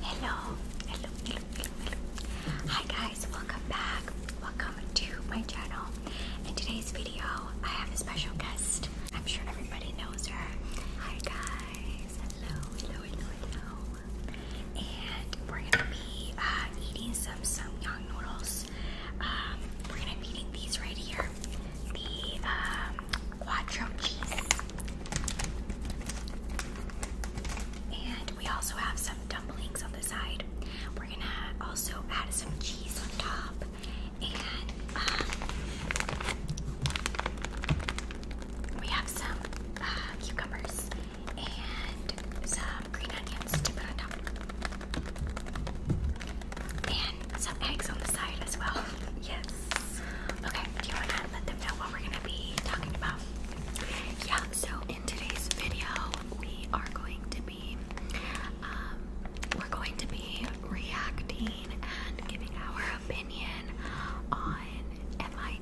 Hello, hello, hello, Hi guys, welcome back. Welcome to my channel. In today's video, I have a special guest. I'm sure everybody knows her. Hi guys, hello, hello, hello, And we're gonna be uh, eating some samyang noodles. Um, we're gonna be eating these right here. The um, quattro cheese and we also have some dumplings on the side. We're gonna also add some cheese on top. And um, we have some uh, cucumbers and some green onions to put on top. And some eggs on the side as well. yes. Okay, do you want to let them know what we're going to be talking about? Yeah, so in today's video, we are going to be, um, we're going to be reacting and giving our opinion on Am I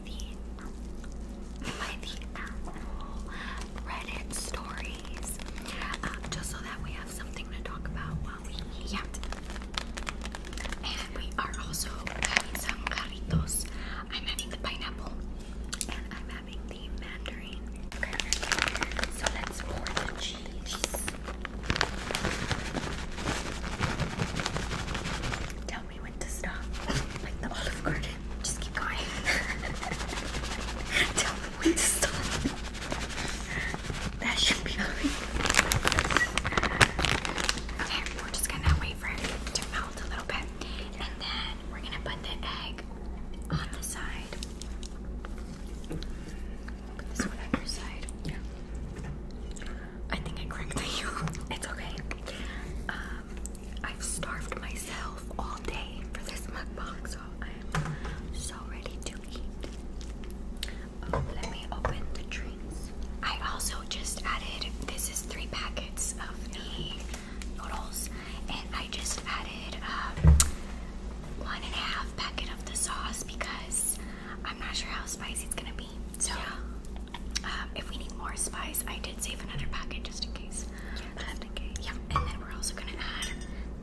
Apple Reddit stories, um, just so that we have something to talk about while we Yeah. And we are also having some carritos. I'm having the pineapple and I'm having the mandarin. So let's pour the cheese. Tell me when to stop. Like the olive garden. Just keep going. Tell me when to stop. That should be all right we're just gonna wait for it to melt a little bit. And then we're gonna put the egg on the side. on your side. Yeah. I think I corrected you. It's okay. Um, I've starved myself all day for this mukbang, so I am so ready to eat. Oh, let me open the tree. I also just added, this is three packets of the noodles, and I just added um, one and a half packet of the sauce because I'm not sure how spicy it's gonna be. So, um, if we need more spice, I did save another packet just in case. Yeah, just um, in case. Yeah, and then we're also gonna add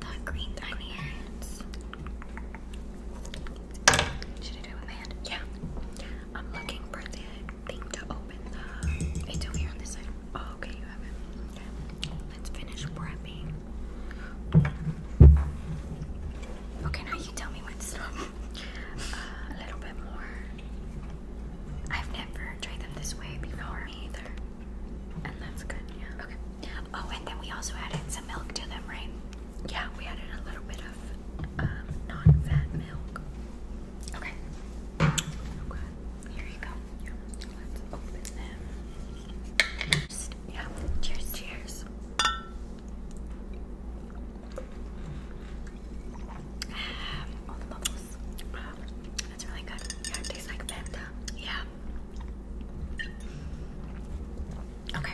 the green the onions. Should I do it with my hand? Yeah. I'm looking for the thing to open the. It's over here on this side. Oh, okay, you have it. Let's finish prepping. Okay, now you tell me when to stop. Uh, a little bit more. I've never tried them this way before. either. And that's good, yeah. Okay. Oh, and then we also added some milk to them, right? Yeah, we added a little bit of have um, non-fat milk. Okay. Okay. Here you go. Yeah. Let's open them. Cheers. Yeah. Cheers. Cheers. Um, all the bubbles. Wow. That's really good. Yeah, tastes like Fanta. Yeah. Okay.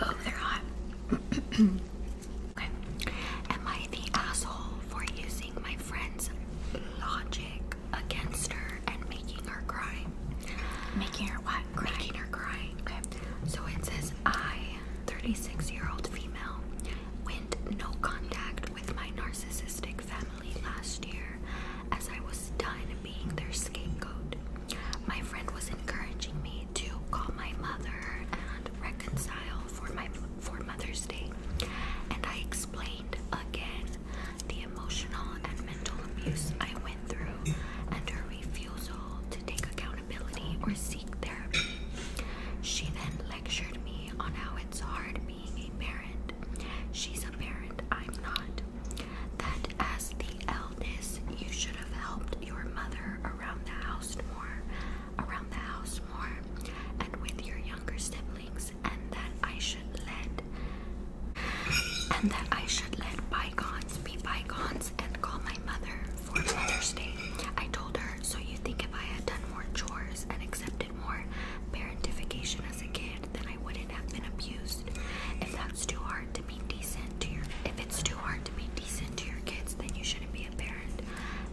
oh, they're hot. okay. Am I the asshole for using my friend's logic against her and making her cry? Making her what? Making her cry. Okay. So it says I, 36-year-old female, went no contact with my narcissistic family last year as I was done being their scapegoat. My friend was encouraging me to call my mother and reconcile for my for Mother's Day. And I explained again the emotional and mental abuse I went through and her refusal to take accountability or seek therapy. She then lectured me on how it's hard being a parent. She's a parent, I'm not. That as the eldest, you should have helped your mother around the house more, around the house more, and with your younger siblings, and that I should let and that I should let bygones be bygones and call my mother for Mother's Day. I told her, so you think if I had done more chores and accepted more parentification as a kid, then I wouldn't have been abused. If that's too hard to be decent to your it's too hard to be decent to your kids, then you shouldn't be a parent.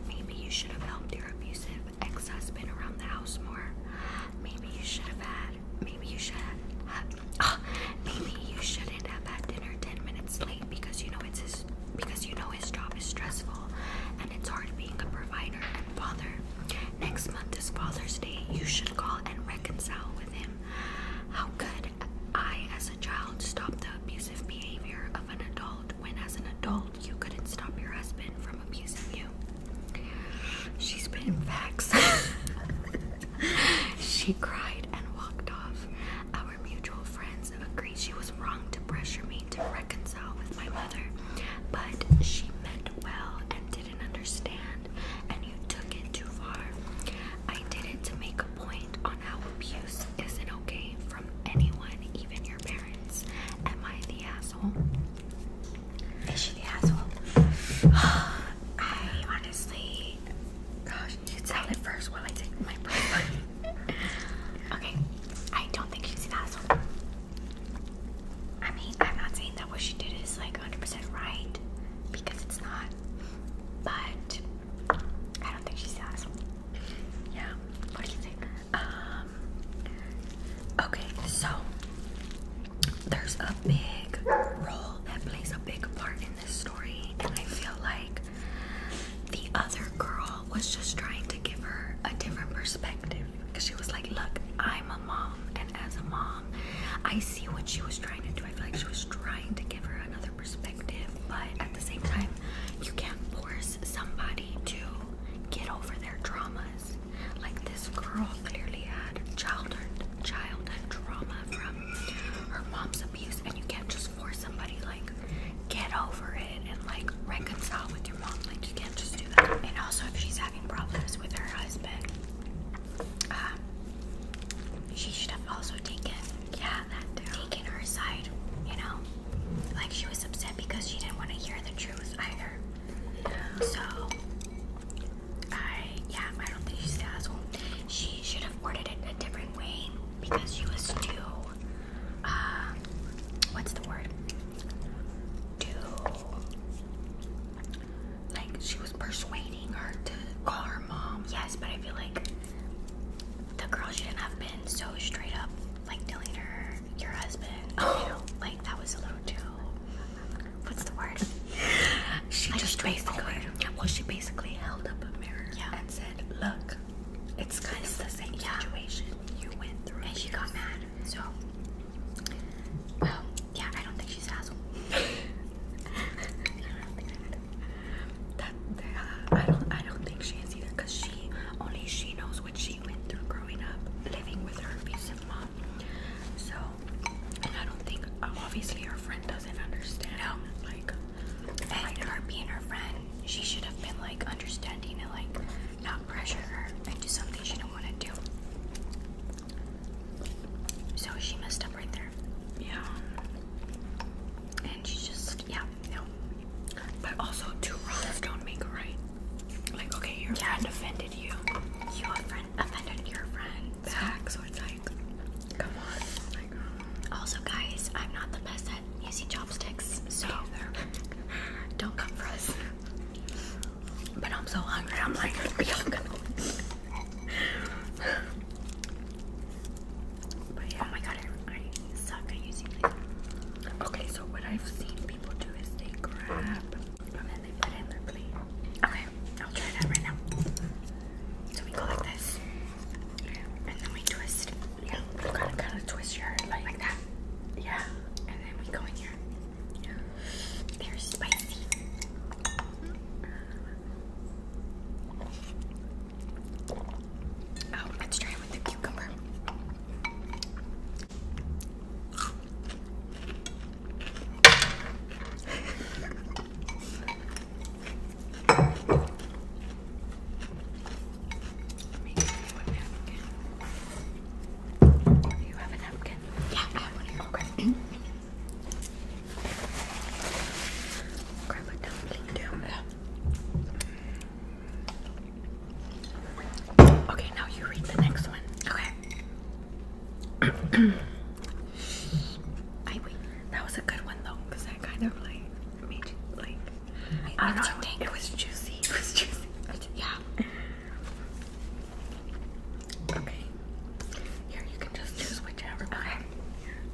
Maybe you should have helped your abusive ex-husband around the house more. Maybe you should have had. Maybe you should have. Uh, maybe you shouldn't have had dinner ten minutes late because you know it's his. Because you know his job is stressful, and it's hard being a provider and father. Next month is Father's Day. You should call and reconcile with him. How could I, as a child, stop the abusive behavior of an adult when, as an adult, you couldn't stop your husband from abusing you? She's been vexed. she cried and walked off. Our mutual friends agreed she was wrong to pressure me to reconcile with my mother, but she meant well and didn't understand, and you took it too far. I did it to make point on how abuse isn't okay from anyone, even your parents. Am I the asshole? Is she the asshole? I honestly, gosh, you tell it first while I take my breath. okay, I don't think she's the asshole. I mean, I'm not saying that what she did is like 100% right because it's not. But I don't think she says. Yeah. What do you think? Um Okay, so there's a big role that plays a big part in this story, and I feel like the other girl was just trying to give her a different perspective because she was like, Look, I'm a mom, and as a mom, I see what she was trying to do. I feel like she was trying to give her another perspective, but at the same time, you can't force somebody to get over their dramas. Like this girl clearly had childhood childhood trauma from her mom's abuse, and you can't just force somebody like get over it and like reconcile with your mom. Like you can't just do that. And also, if she's having problems with her husband, um, she should have also taken yeah, that Taking her side, you know? Like she was upset because she didn't want to hear the truth either. So, I, yeah, I don't think she's the asshole. She should have ordered it a different way because she was too, uh, what's the word? Too, like, she was persuading her to her mom. Yes, but I feel like the girl shouldn't have been so straight up, like telling her your husband. You oh. know, like that was a little too. What's the word? she like just basically. Well, she basically held up a mirror and said, "Look, it's kind of the same situation you went through." And she got mad. So, well, oh, yeah, I don't think she's an that uh, I don't I don't think she is either because she only she knows what she went through growing up living with her abusive mom. So I don't think obviously her friend doesn't understand. how, Like and like her being her friend, she should have been like understanding and like not pressure her into something she didn't want to do. So she messed up right there. Yeah. And she just, yeah, no. But also, two wrongs don't make right. Like, okay, yeah. friend offended you. You offended your friend back, so it's like, come on. Um, also, guys, I'm not the best at using chopsticks, so don't come for us. But I'm so hungry. I'm like, y'all gonna. Oh okay, so what I've seen people do is they grab and then they put in their plate. Okay, I'll try that right now. So we go like this. And then we twist. Yeah, kind of twist your like, that. Yeah. And then we go in here. They're spicy. Oh, let's try it with the cucumber. Do you have a napkin? Yeah, I have one here. Okay. Okay, now you read the next one. Okay. I That was a good one though, because that kind of like made you like. I, don't know. It was juicy. It was juicy. Yeah. Okay. Here, you can just choose whichever. Okay.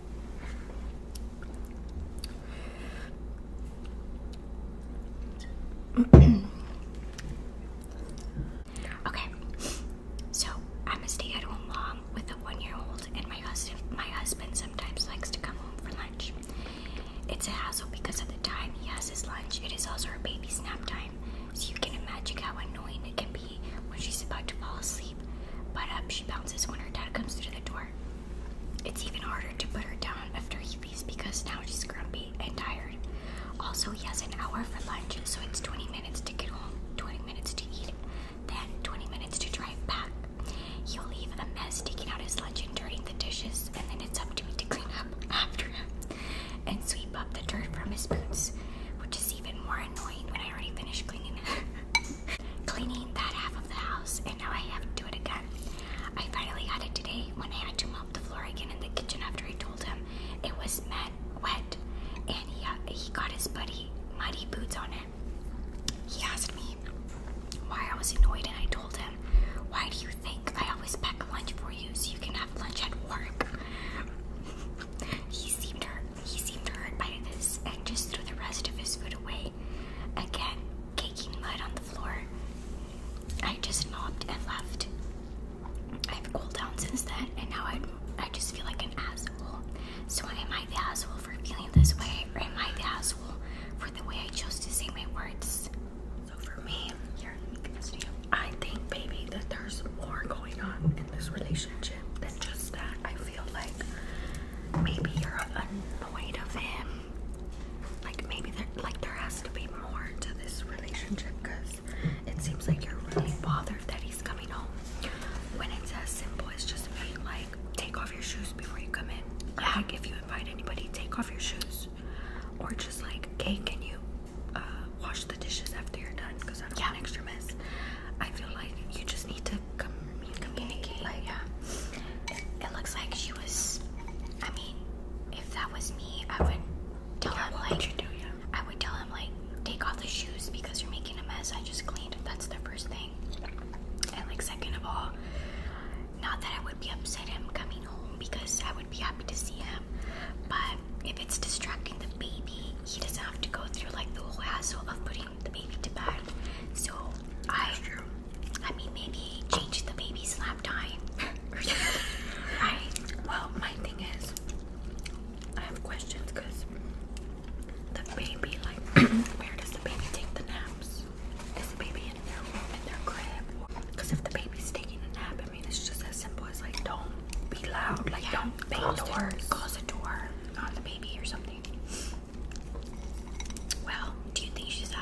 okay, so I'm a stay-at-home mom with a one-year-old, and my husband sometimes likes to come home for lunch. It's a hassle because of the time he has his lunch. It is also her baby nap time, so you can imagine how annoying it can be when she's about to fall asleep but up um, she bounces when her dad comes through the door. It's even harder to put her down after he leaves because now she's grumpy and tired. Also, he has an hour for lunch, so it's 20 minutes to get home, 20 minutes to eat, then 20 minutes to drive back. He'll leave a mess, taking out his lunch and dirtying the dishes, and then it's up to me to clean up after him and sweep up the dirt from his boots, which is even more annoying when I already finished cleaning Cleaning that half of the house, and now I have to do it again. I finally had it today when I had to mop the floor again in the kitchen after I told him it was met wet, and he uh, he got his buddy muddy boots on it. He asked me why I was annoyed, and I told him, "Why do you think I always pack lunch for you so you can have lunch at work?" he seemed hurt. He seemed hurt by this and just threw the rest of his food away, again caking mud on the floor. I just mopped and left. I've cooled down since then, and now I I just feel like an asshole. So am I the asshole for feeling this way, or am I the asshole for the way I chose to say my words? So for me, I think, baby, that there's more going on in this relationship than just that. I feel like maybe you're annoyed of him. Like maybe there, like there has to be more to this relationship because it seems like you're really bothered that he's coming home. When it's as simple as just being like, take off your shoes before you come in. Yeah. Like if you invite anybody, take off your shoes. Or just like, hey, can you uh, wash the dishes after you're done? Because I don't yeah. want extra mess. I feel like you just need to come mean, communicate. Like, yeah. It looks like she was. I mean, if that was me, I would tell him like. I would tell him like, take off the shoes because you're making a mess. I just cleaned. That's the first thing. And like, second of all, not that I would be upset him coming home because I would be happy to see him, but if it's distracting the baby, he doesn't have to go through like the whole hassle of putting the baby to bed. So I, I mean, maybe change the baby's slap time or right? Well, my thing is, I have questions because the baby, like, where does the baby take the naps? Is the baby in their room, in their crib? Because if the baby's taking a nap, I mean, it's just as simple as like, don't be loud, like, don't bang doors, close the door on the baby or something. Well, do you think she's an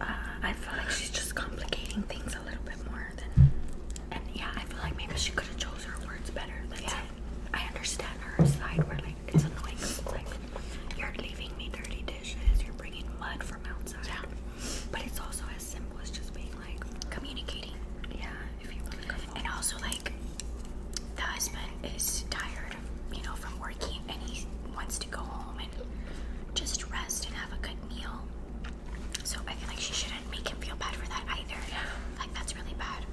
uh, I feel like she's just complicating things a little bit more than. And yeah, I feel like maybe she could have chose her words better. yeah. I understand her side where like it's annoying. Like you're leaving me dirty dishes. You're bringing mud from outside. Yeah. But it's also as simple as just being like communicating. Yeah, if you want to come and also, like, the husband is tired, you know, from working and he wants to go home and just rest and have a good meal. So I feel like she shouldn't make him feel bad for that either. Yeah. Like, that's really bad.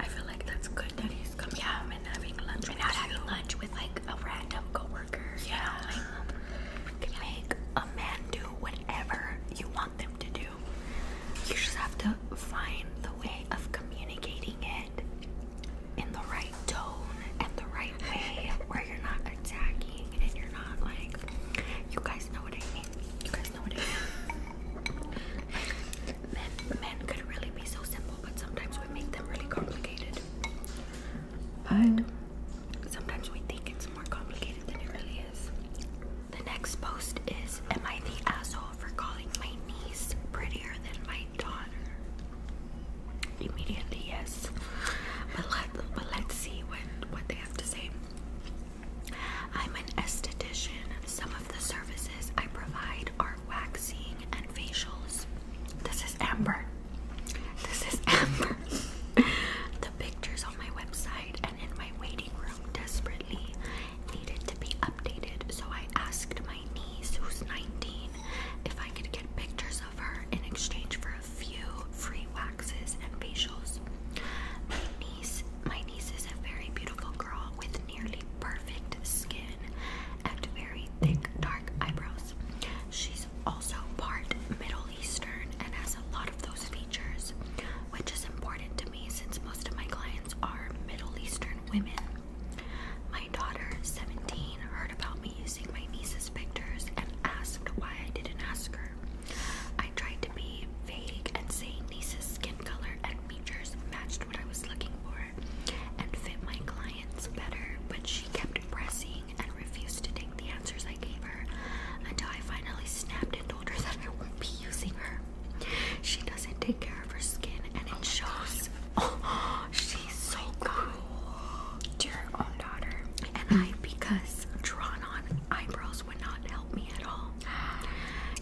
I feel like that's good that he's coming yeah. home and having lunch. And not having lunch with like a random coworker. Yeah. You make a man do whatever you want them to do. You just have to find the way of communicating it in the right tone and the right way where you're not attacking and you're not like you guys know what I mean. You guys know what I mean. men men could really be so simple but sometimes we make them really complicated. But sometimes we think it's more complicated than it really is. The next post is Am I the asshole for calling my niece prettier than my immediately, yes. But let us see what they have to say. I'm an esthetician. Some of the services I provide are waxing and facials. This is Amber. This is Amber. the pictures on my website and in my waiting room desperately needed to be updated, so I asked my niece, who's 19, if I could get pictures of her in exchange for a few free waxes and facials. My niece, my niece is a very beautiful girl with nearly perfect skin and very thick, dark eyebrows. She's also part Middle Eastern and has a lot of those features, which is important to me since most of my clients are Middle Eastern women. My daughter, 17, heard about me using my niece's pictures and asked why I didn't ask her. I tried to be vague and say niece's skin color and features matched what I was looking for and fit my clients better, but she kept pressing and refused to take the answers I gave her until I finally snapped and told her that I won't be using her. She doesn't take care of her skin and it shows. she's so cruel to her own daughter. And I, because drawn on eyebrows would not help me at all,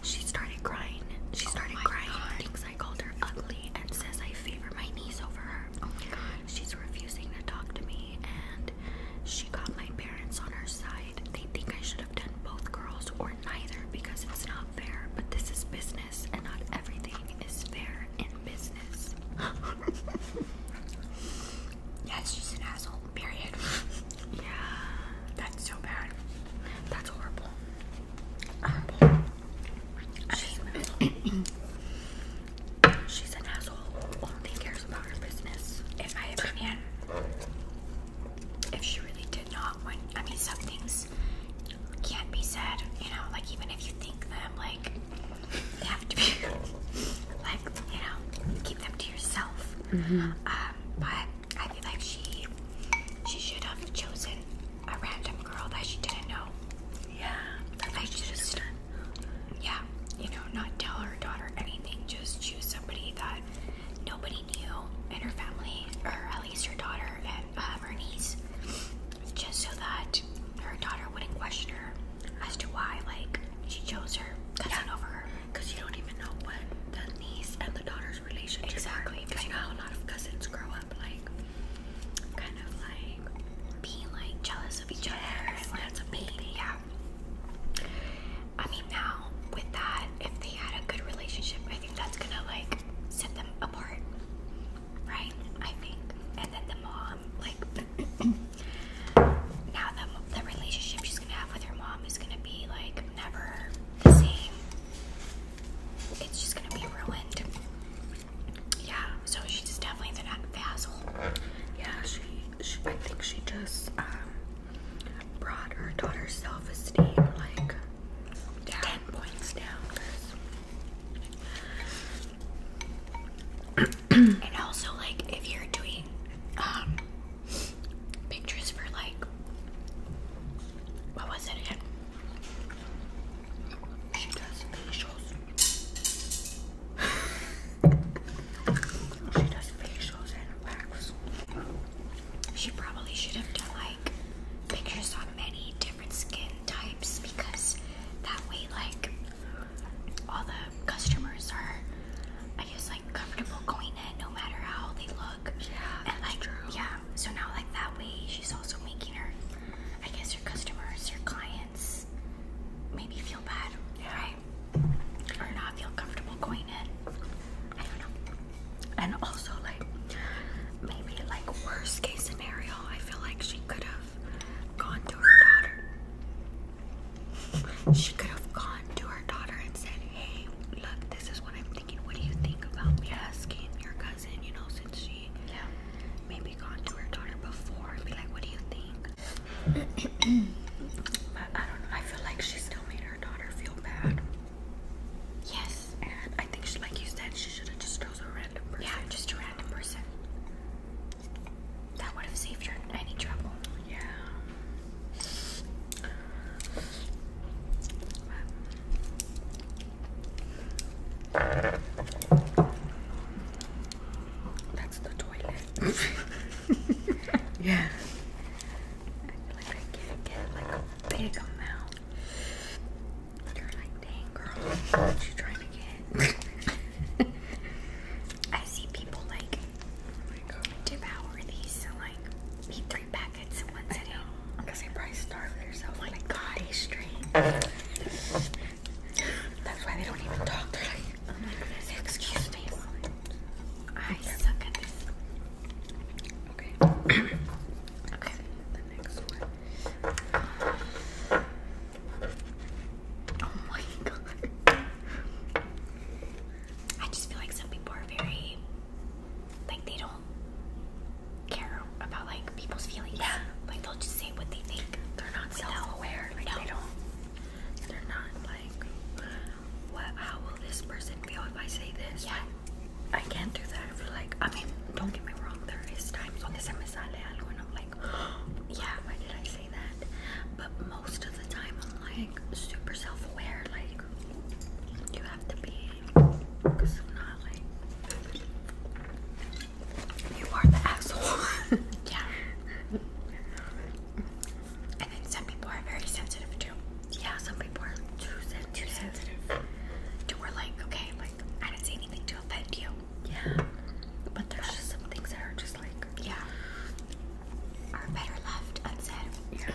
she started crying. She oh started crying, God. thinks I called her ugly, and says I favor my niece over her. Oh my God. She's refusing to talk to me, and she got my parents on her side. They think I should have done both girls or neither because it's not fair, but this is business business, and not everything is fair in business. she's an asshole, period. yeah. That's so bad. That's horrible. Horrible. She's, an asshole. Only cares about her business. In my opinion, if she really did not want, I mean, some things can't be said, you know, like even if you think them, like you have to be like, you know, keep them to yourself. Mm-hmm. Um, but I feel like she she should have chosen a random girl that she didn't know. Yeah. I just yeah, you know, not tell her daughter anything, just choose somebody that nobody knew in her family, or at least her daughter, her and uh, her niece, just so that her daughter wouldn't question her as to why, like, she chose her cousin yeah. over her. Because you don't even know what the niece and the daughter's relationship exactly. Because you know how a lot of cousins grow up, like, kind of like being like jealous of each yes, other. And, like, that's a big thing. Yeah. I mean, now with that, if they had a good relationship, I think that's gonna like set them apart, right? I think. And then the mom, like, now the, the relationship she's gonna have with her mom is gonna be like never the same. It's just gonna be ruined. Yeah, so she's definitely the, the asshole. Yeah, she, I think she just um, brought her daughter self esteem, like, ten points down. and also, like, if you're doing um, pictures for like, what was it She does facials. she does facials and wax. She probably should have done like pictures on many skin types because that way, like, all the customers are, I guess, like, comfortable going in no matter how they look. Yeah, and, like, Yeah, so now, like, that way, she's also making her, I guess, her customers, her clients maybe feel bad, yeah. right? Or not feel comfortable going in. I don't know and also like maybe like worst case scenario i feel like she could have gone to her daughter she could have gone to her daughter and said hey look this is what i'm thinking what do you think about me asking your cousin you know since she yeah. maybe gone to her daughter before and be like what do you think but i don't know i feel like she still made her daughter feel bad Yes. I think like you said, she should have just chose a random person. Yeah, just a random person. That would have saved her any trouble. Yeah. that's the toilet. yeah. I feel like I can't get like a big amount. They're like, dang girl, what trying to get? I see people like oh my God. these, so like eat three packets in one sitting. Because they probably starve themselves. Oh my God, they straight. That's why they don't even talk. They're like, oh my goodness, excuse me. I suck at this. Okay. okay. The next one. Oh my god. I just feel like some people are very like they don't care about like people's feelings. Yeah. Like they'll just say what they think. They're not self aware. no. they are not like what how will this person feel if I say this? Yeah. I can't do that. I feel like, I mean, don't get me wrong, there is times when se me sale algo and I'm like, yeah, why did I say that? But most of the time I'm like super self-aware, like you have to be, because if not, like, you are the asshole. yeah. And then some people are very sensitive too. Yeah, some people are too sensitive. Too sensitive. To where like, okay, I didn't say anything to offend you. Yeah. But there's just some things that are just like, yeah, are better left unsaid. Yeah.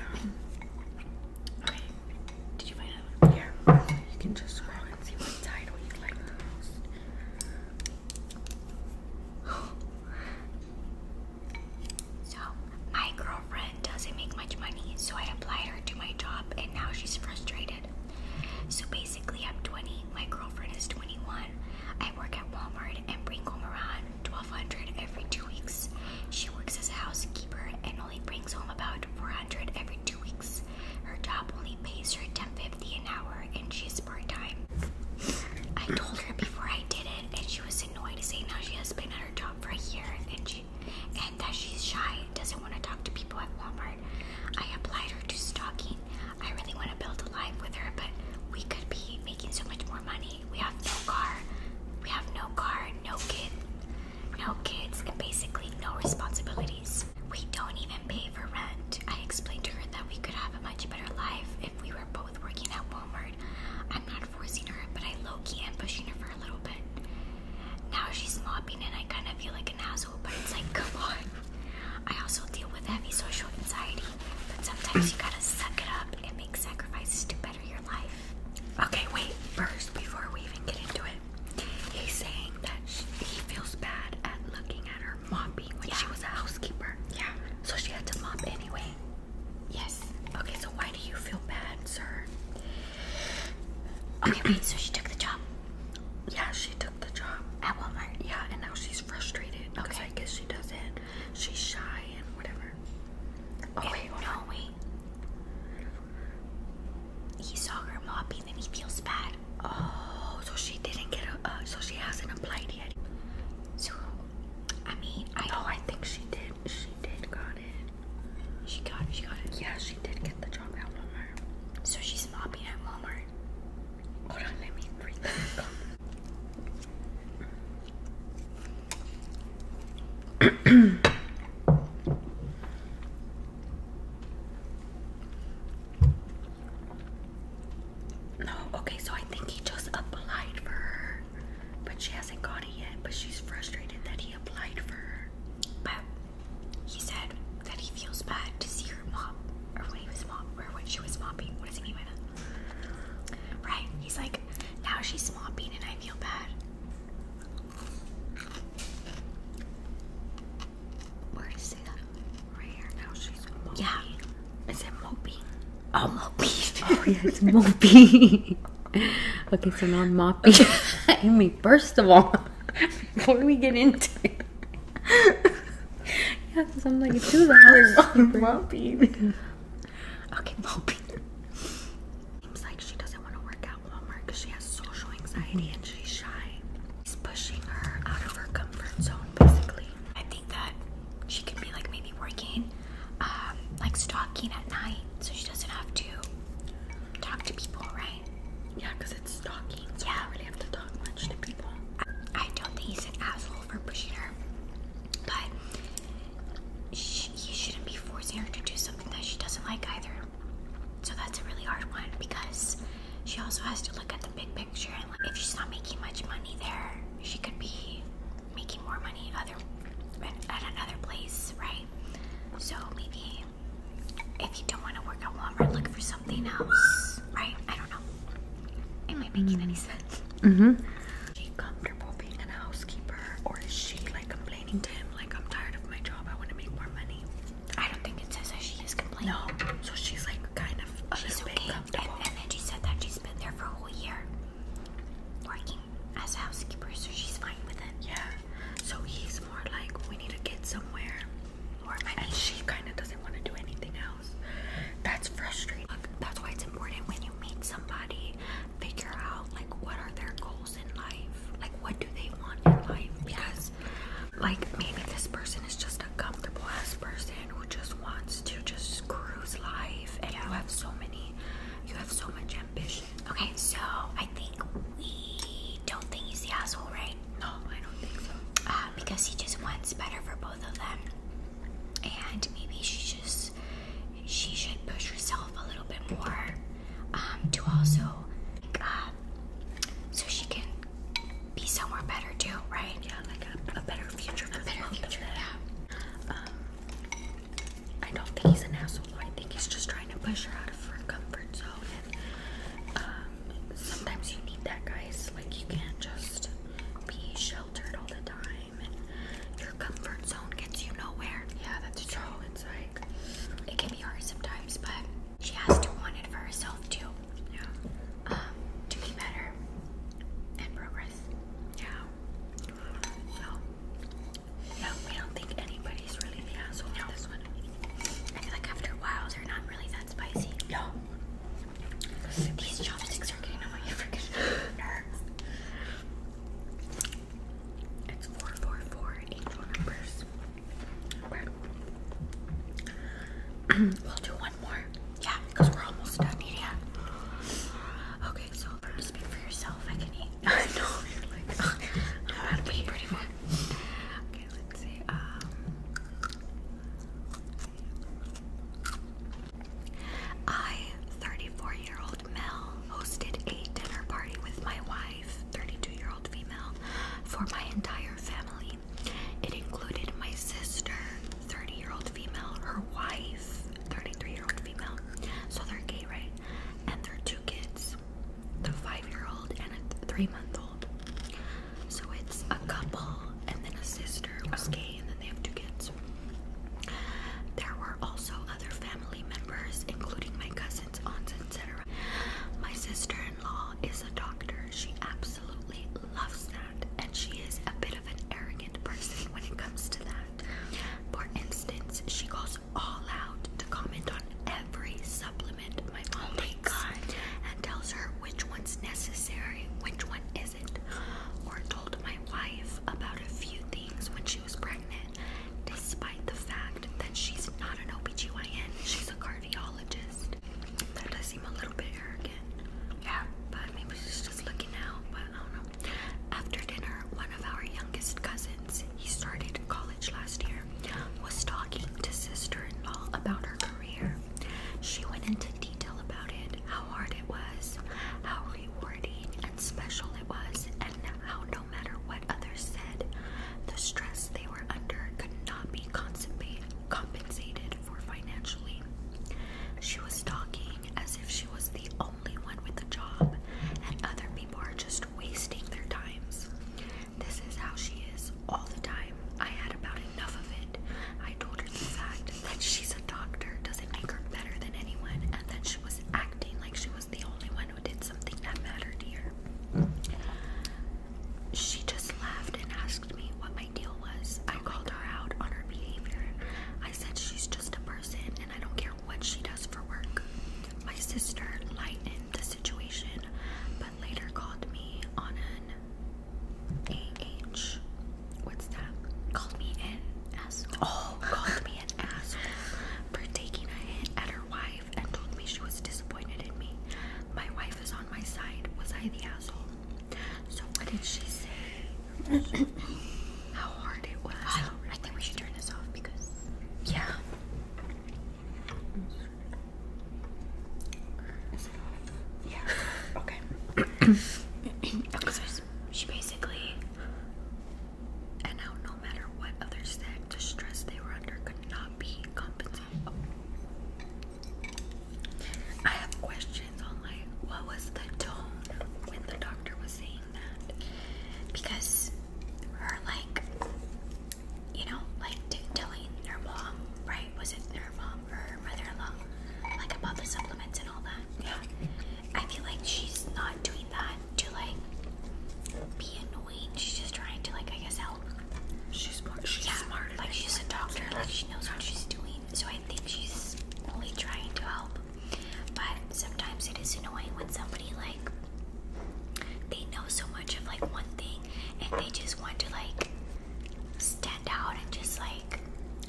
okay. Did you find out? One? Yeah. You can just scroll and see what title you like the most. so, my girlfriend doesn't make much money, so I applied her to my job, and now she's frustrated so basically, I'm 20, my girlfriend is 21. I work at Walmart and bring home around 1200 every two weeks. She works as a housekeeper and only brings home about 400 every two weeks. Her job only pays her 10.50 an hour and she's part-time. I told her before I did it and she was annoyed to saying now she has been at her job for a year and she and that she's shy and doesn't want to talk to people at Walmart. I applied her to stocking. I really want to build a life with her, but we could be making so much more money. We have no car. We have no car, no kid, no kids, and basically no responsibilities. We don't even pay for rent. I explained to her that we could have a much better life if we were both working at Walmart. I'm not forcing her, but I low-key am pushing her for a little bit. Now she's mopping and I kind of feel like an asshole, but it's like, come on. I also deal with heavy social anxiety, but sometimes you gotta suck it up and make sacrifices to better your life. Okay, wait, first, before we even get into it, he's saying that he feels bad at looking at her mopping when she was a housekeeper. Yeah. So she had to mop anyway. Yes. Okay, so why do you feel bad, sir? Okay, wait, so she took the job. Yeah, she took the job at Walmart. Yeah, and now she's frustrated okay. I guess she does it. She's shy and whatever. Oh no, wait. He saw her mopping then he feels bad. Oh, so she didn't get a. Uh, so she hasn't applied yet. So, I mean, I. Oh, I think she did. She did got it. She got it. She got it. Yeah, she did get the job. So she's mopping at Walmart. No, okay, so I think he just applied for her, but she hasn't got it yet. But she's frustrated that he applied for her. But he said that he feels bad to see her mop, or when he was mopping, or when she was mopping. What does he mean by that? Right? He's like, now she's mopping, and I feel bad. Where did he say that? Right here. Now she's moping. Yeah. Is it moping? Oh, moping. oh yeah, it's moping. okay, so now I'm mopping. I mean, first of all. Before we get into it. yeah, because I'm like, it's two hours. Mopping. Okay, moping. Seems like she doesn't want to work out Walmart because she has social anxiety and she's shy. He's pushing her out of her comfort zone, basically. I think that she could be like maybe working, um, like stalking at night so she doesn't have to talk to people, right? right? Yeah, because it's stalking. So yeah, I really have to talk much to people. I, don't think he's an asshole for pushing her, but she, he shouldn't be forcing her to do something that she doesn't like either. So that's a really hard one because she also has to look at the big picture. And like, if she's not making much money there, she could be making more money other at another place, right? So maybe if you don't want to work at Walmart, look for something else, right? I don't know. Am I making any sense? Mm-hmm. she comfortable being a housekeeper, or is she like complaining to him, like I'm tired of my job, I want to make more money? I don't think it says that she is complaining. No, so she's like kind of oh, she's okay. and then she said that she's been there for a whole year working as a housekeeper, so she's fine with it. Yeah. So he's more like, we need to get somewhere and she kind of doesn't want to do anything else. That's frustrating. that's why it's important when you meet somebody, figure out like what are their goals in life, like what do they want in life, because like maybe this person is just a comfortable ass person who just wants to just cruise life, and you have so many, you have so much ambition. Okay, so I think we don't think he's the asshole, right? No, I don't think so. Uh, because he just wants better for both of them, and maybe she just she should push herself a little bit more um, to also, uh, so she can be somewhere better too, right? Yeah, like a, better future. A better future. Yeah. Um, I don't think he's an asshole. I think he's just trying to push her out of her comfort zone uh, sometimes you need that, guys. Like, you can't just be sheltered all the time, and your comfort zone gets you nowhere. Yeah, that's true. So it's like it can be hard sometimes, but she has to want it for herself too. Yeah, um, to be better and progress. Yeah. So, no, we don't think anybody's really the asshole. No like after a while, they're not really that spicy. No. These chopsticks are getting on my freaking nerves. It's 444 angel numbers. we'll do one more. Yeah, because we're almost done eating. Okay, so speak for yourself. I can eat. I know, I'm about to be pretty far. Okay, let um, I, 34 year old Mel, hosted a dinner party with my wife, 32 year old female, for my entire family. It included my sister, 30 year old female, her wife, 33 year old female, so they're gay, right? And their two kids the five-year-old and a three-month-old. So it's a couple and then a sister was gay and then they have two kids. There were also other family members, including my cousins, aunts, etc. My sister-in-law is a doctor. She absolutely loves that, and she is a bit of an arrogant person when it comes to that. For instance, she goes all out to comment on every supplement my mom oh my God. and tells her which one's necessary, which one isn't. Or told my wife about a few things when she was pregnant, despite the fact that she's not an OBGYN, she's a cardiologist. That does seem a little bit arrogant. Yeah, but maybe she's just looking out, but I don't know. After dinner, one of our youngest cousins, he started college last year, mother was talking to sister in law about her career. She went into detail about it, how hard it was, how rewarding and special it was, and how no matter what others said, the stress they were under could not be compensated for financially. She was talking as if she was the only one with a job, and other people are just wasting their times. This is how she is all the time. I had about enough of it. I told her the fact that she's a doctor doesn't make her better than anyone and then she was acting like she was the only one who did something that mattered here. She just laughed and asked me what my deal was. I called her out on her behavior. I said she's just a person and I don't care what she does for work. My sister lightened the situation later called me on an AH. What's that? Called me an asshole. Oh. called me an asshole for taking a hit at her wife and told me she was disappointed in me. My wife is on my side. Was I the asshole? So, what did she say? How hard it was. I think we should turn this off because. Yeah. Yeah. Okay. so she basically, and now no matter what others stress they were under could not be compensated. I have questions on like what was the tone when the doctor was saying that because her like you know, like telling her mom, right? Was it her mom or her mother-in-law, like about the supplements and all that? Yeah. I feel like she's not doing that to like be annoying. She's just trying to like, I guess, help. She's smart. She's yeah, smart. Like she's a doctor. Like she knows what she's doing. So I think she's only trying to help. But sometimes it is annoying when somebody like they know so much of like one thing and they just want to like like stand out and just like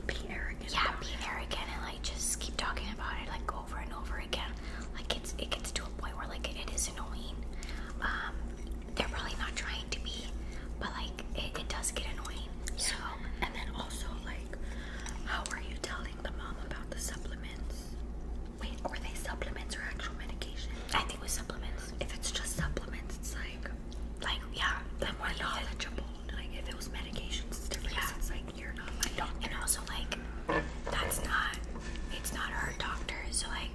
be arrogant. Yeah, be again and like just keep talking about it like over and over again. Like it's it gets to a point where like it is annoying. Um, they're probably not trying to be, but like it, does get annoying. So and then also like, how are you telling the mom about the supplements? Wait, are they supplements or actual medication? supplements. If it's just supplements, it's like, like yeah, like we more knowledgeable. Like if it was medications, it's different. It's like you're not my doctor. And also like, that's not, it's not her doctor. So like,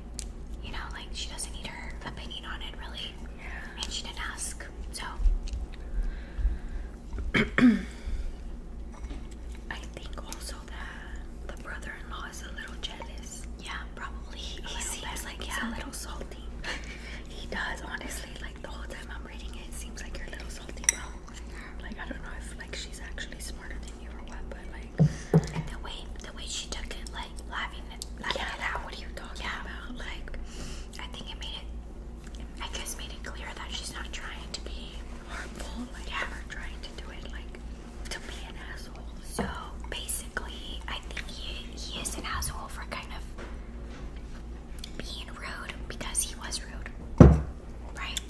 you know, like she doesn't need her opinion on it really. Yeah. And she didn't ask. So. I think also that the brother-in-law is a little jealous this? Yeah, probably. He, he seems like he's yeah. a little salty. he does, honestly. Like the whole time I'm reading it, it seems like you're a little salty, bro. Like I don't know if like she's actually smarter than you or what, but like. And the way the way she took it, like laughing it, laughing yeah, it out. What are you talking yeah. about? Like, I think it made it. I guess made it clear that she's not trying to be harmful. Like, yeah. or trying to do it like to be an asshole. So basically, I think he, he is an asshole for kind of being rude because he was rude, right?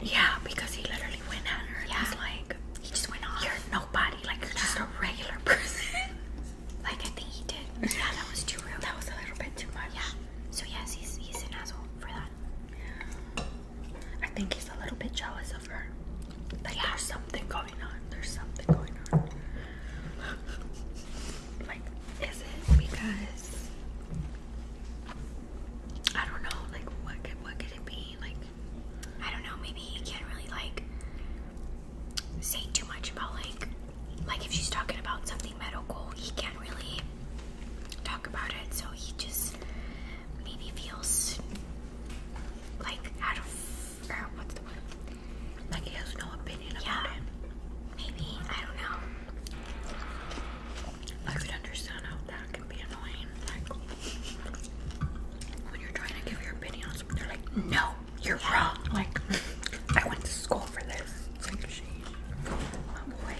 Yeah, because he literally went at her. Yeah, like he just went off. You're nobody. Like you're just a regular person. like I think he did. Yeah, that was too rude. That was a little bit too much. Yeah. So yes, he's he's an asshole for that. I think he's a little bit jealous of her. Like yeah. there's something going on. There's something going on. like, is it because I don't know, like what could what could it be? Like I don't know, maybe he can't really like say too much about like like if she's talking about something medical, he can't really talk about it, so he just maybe feels like out of uh, what's the word? Like he has no opinion about it. Maybe I don't know. I could understand how that can be annoying. Like when you're trying to give your opinion on they're like, "No, you're wrong." Like I went to school for this. It's my boy.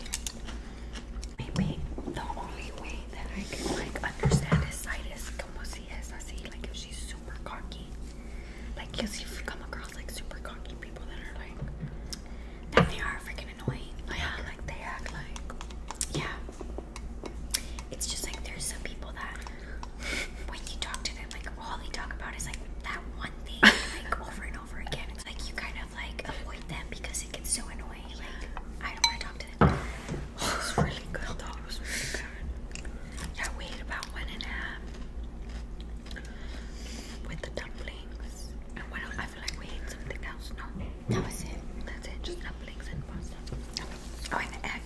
Maybe the only way that I can like understand his side is como si es así, like if she's super cocky. Like because you've come across like super cocky people that are like that they are freaking annoying. yeah. like they act like Yeah. It's just like there's some people that when you talk to them, like all they talk about is like that one thing like over and over again. It's like you kind of like avoid them because it gets so annoying. Like I don't want to talk to it. Oh, it was really good though. It was really good. Yeah, we ate about one and a half with the dumplings. And I feel like we ate something else. No, that was it. That's it. Just dumplings and pasta. Oh, and the egg.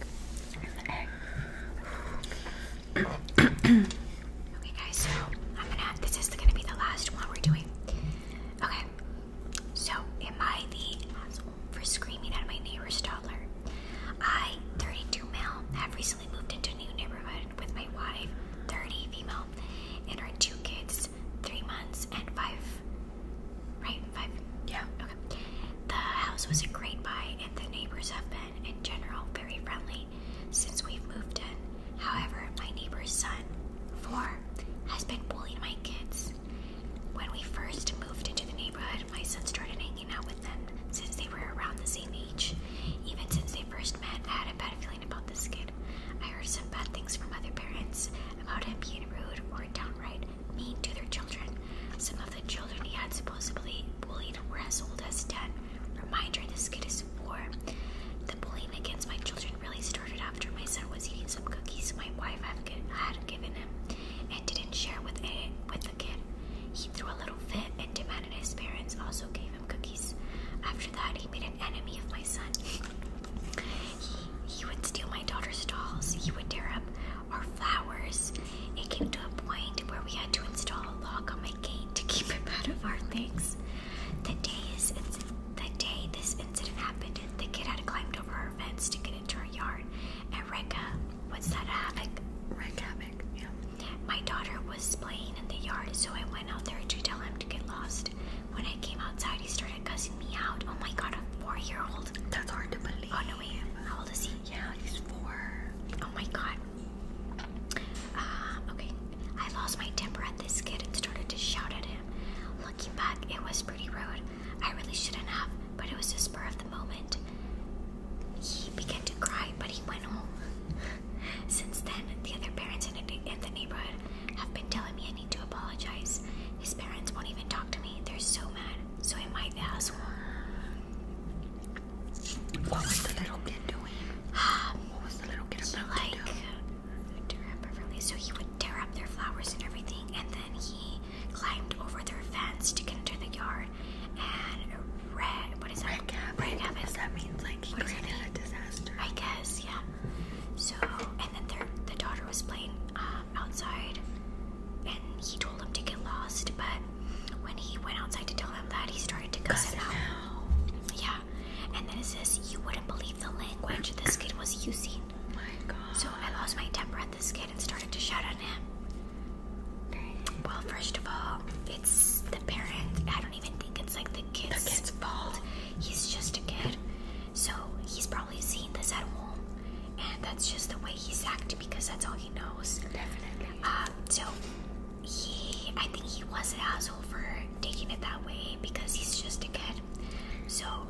the egg. okay, guys. So I'm gonna. This is gonna be the last one we're doing. Okay, so am I the asshole for screaming at my neighbor's toddler? I, 32 male, have recently moved into a new neighborhood with my wife, 30 female, and our two kids, three months and five. Right, five. Yeah. Okay. The house was a great buy, and the neighbors have been, in general, very friendly since we've moved in. However, my neighbor's son, four, has been bullying my kids. When we first moved into the neighborhood, my son started hanging out with them since they were around the same age. Even since they first met, I had a bad feeling about this kid. I heard some bad things from other parents about him being rude or downright mean to their children. Some of the children he had supposedly bullied were as old as 10. Reminder this kid is four. The bullying against my children really started started after my son was eating some cookies my wife had given him and didn't share with, a, with the kid. He threw a little fit and demanded his parents also gave him cookies. After that, he made an enemy of my son. he, he would steal my daughter's dolls, he would tear up our flowers. It came to a point where we had to install a lock on my gate to keep him out of our things. The days and the day this incident happened, the kid had climbed over our fence to get into our yard and wreak what's that havoc? Wreak havoc, yeah. My daughter was playing in the yard, so I went out there to tell him to get lost. When I came outside, he started cussing me out. Oh my god, a four year old. That's hard to believe. Oh no, wait. How old is he? Yeah, he's four. Oh my god. Um, okay. I lost my temper at this kid and started to shout at him. Looking back, it was pretty rude. I really shouldn't have, but it was the spur of the moment. He began to cry, but he went home. Since then, the other parents in, the neighborhood have been telling me I need to apologize. His parents won't even talk to me. They're so mad. So am I the asshole? What was the little kid doing? what was the little kid about to do? So he would tear up their flowers and everything, and then he climbed over their fence to get into the yard. And red, what is that? Red cap. Red That means like What's created a disaster. I guess, yeah. So, and then their the daughter was playing um, outside, and he told him to get lost. But when he went outside to tell him that, he started to cuss him Yeah. And then it says, "You wouldn't believe the language this kid was using." So I lost my temper at this kid and started to shout at him. Well, first of all, it's the parent. I don't even think it's like the kid's, the kid's fault. He's just a kid. So he's probably seen this at home. And that's just the way he's acted because that's all he knows. Definitely. Um, so he, I think he was an asshole for taking it that way because he's just a kid. So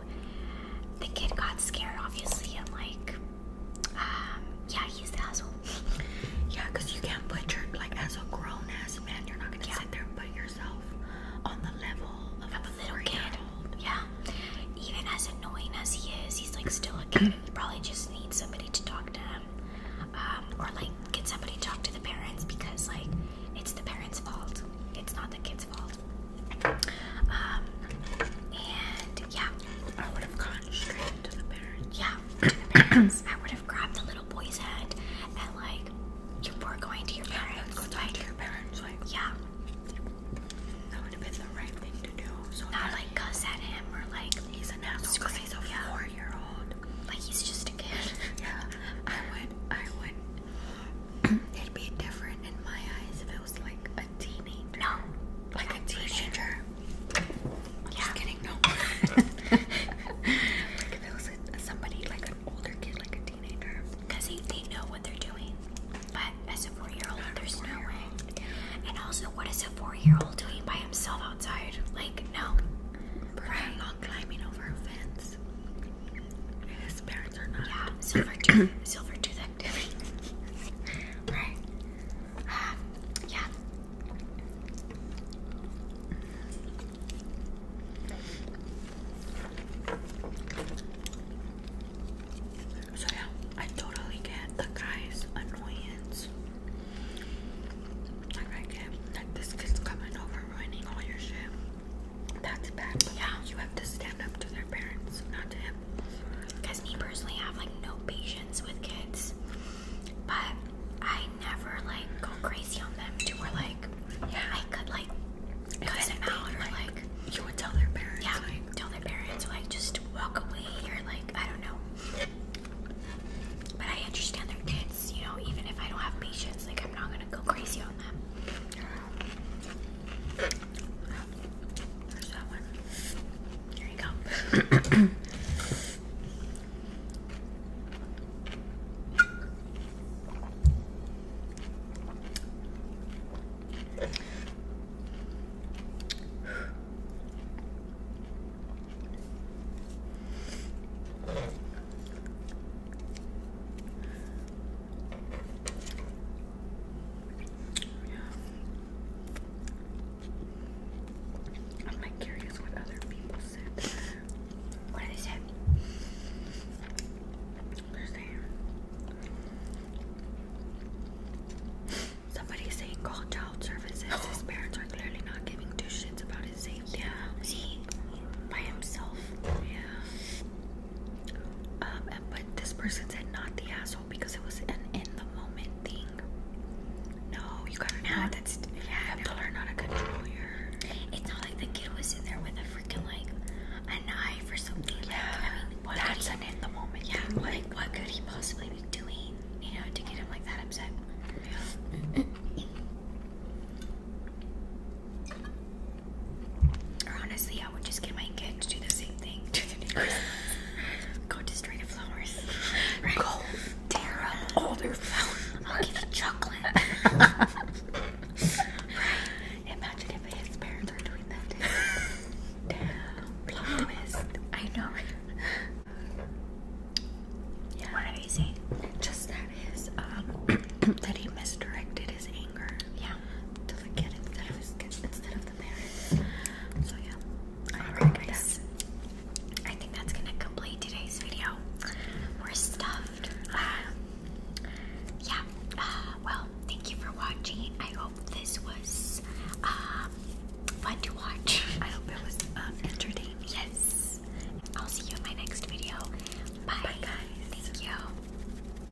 the kid got scared, obviously, and like, um, yeah, he's the asshole. yeah, because you can't put your, like, as a grown ass man, you're not gonna sit there and put yourself on the level of a, little kid. Yeah, even as annoying as he is, he's like still a kid. he probably just needs somebody to talk to him, um, or like can somebody talk to the parents because, like, it's the parents' fault, it's not the kid's. Um, and yeah, I would have gone straight to the parents. Yeah, I would have grabbed the little boy's hand and like, you were going to your parents. go talk to your parents. Like, yeah, that would have been the right thing to do. not like cuss at him or like he's an asshole because he's a four-year-old. Like he's just a kid. yeah, I would. I would It'd be different in my eyes if it was like a teenager. No. Like a teenager. Sure. I'm yeah. just kidding, no. like if it was somebody like an older kid, like a teenager. Because they, they know what they're doing. But as a four year old, Not there's no way. And also, what is a four year old doing by himself outside? Like, no. Right. Long climbing over a fence his parents are not. Yeah, silver tooth, silver tooth activity. right. Um, yeah. So yeah, I totally get the guy's annoyance. Like I get that this kid's coming over ruining all your shit. That's bad. Yeah. You have to stand up to their parents, not to him. Because me personally I have like no patience with kids. But I never like go crazy on them to where like yeah. I could like cut them out or like, you would tell their parents. Yeah, tell their parents like just walk away or like I don't know. But I understand their kids, you know, even if I don't have patience, like I'm not gonna go crazy on them. There's that one. Here you go. Yeah. I'm like curious what other people said. What did they say? They're saying somebody's saying call child services. His parents are clearly not giving two shits about his safety. Yeah. See, by himself. Yeah. Um, but this person said not the asshole because it was an in the moment thing. No, you got an know that's yeah. You have to learn how to control your. It's not like the kid was in there with a freaking like a knife or something. Yeah, like, I mean, what that's an in the moment. Yeah, Like, what could he possibly be doing? You know, to get him like that upset. Yeah. Or honestly, I would just get my kid to do the same thing. To the new Christmas. Go to String of Flowers. Right? Go tear up older flowers. I'll give you chocolate. right? Imagine if his parents were doing that. Damn. Plot twist. I know. Yeah. What did he say? Just that his um that he misdirected his anger. Yeah. So yeah, I All right, guys. I think that's gonna complete today's video. We're stuffed. Um, yeah. Uh, well, thank you for watching. I hope this was um, fun to watch. I hope it was um, entertaining. Yes. I'll see you in my next video. Bye, Bye guys. Thank you.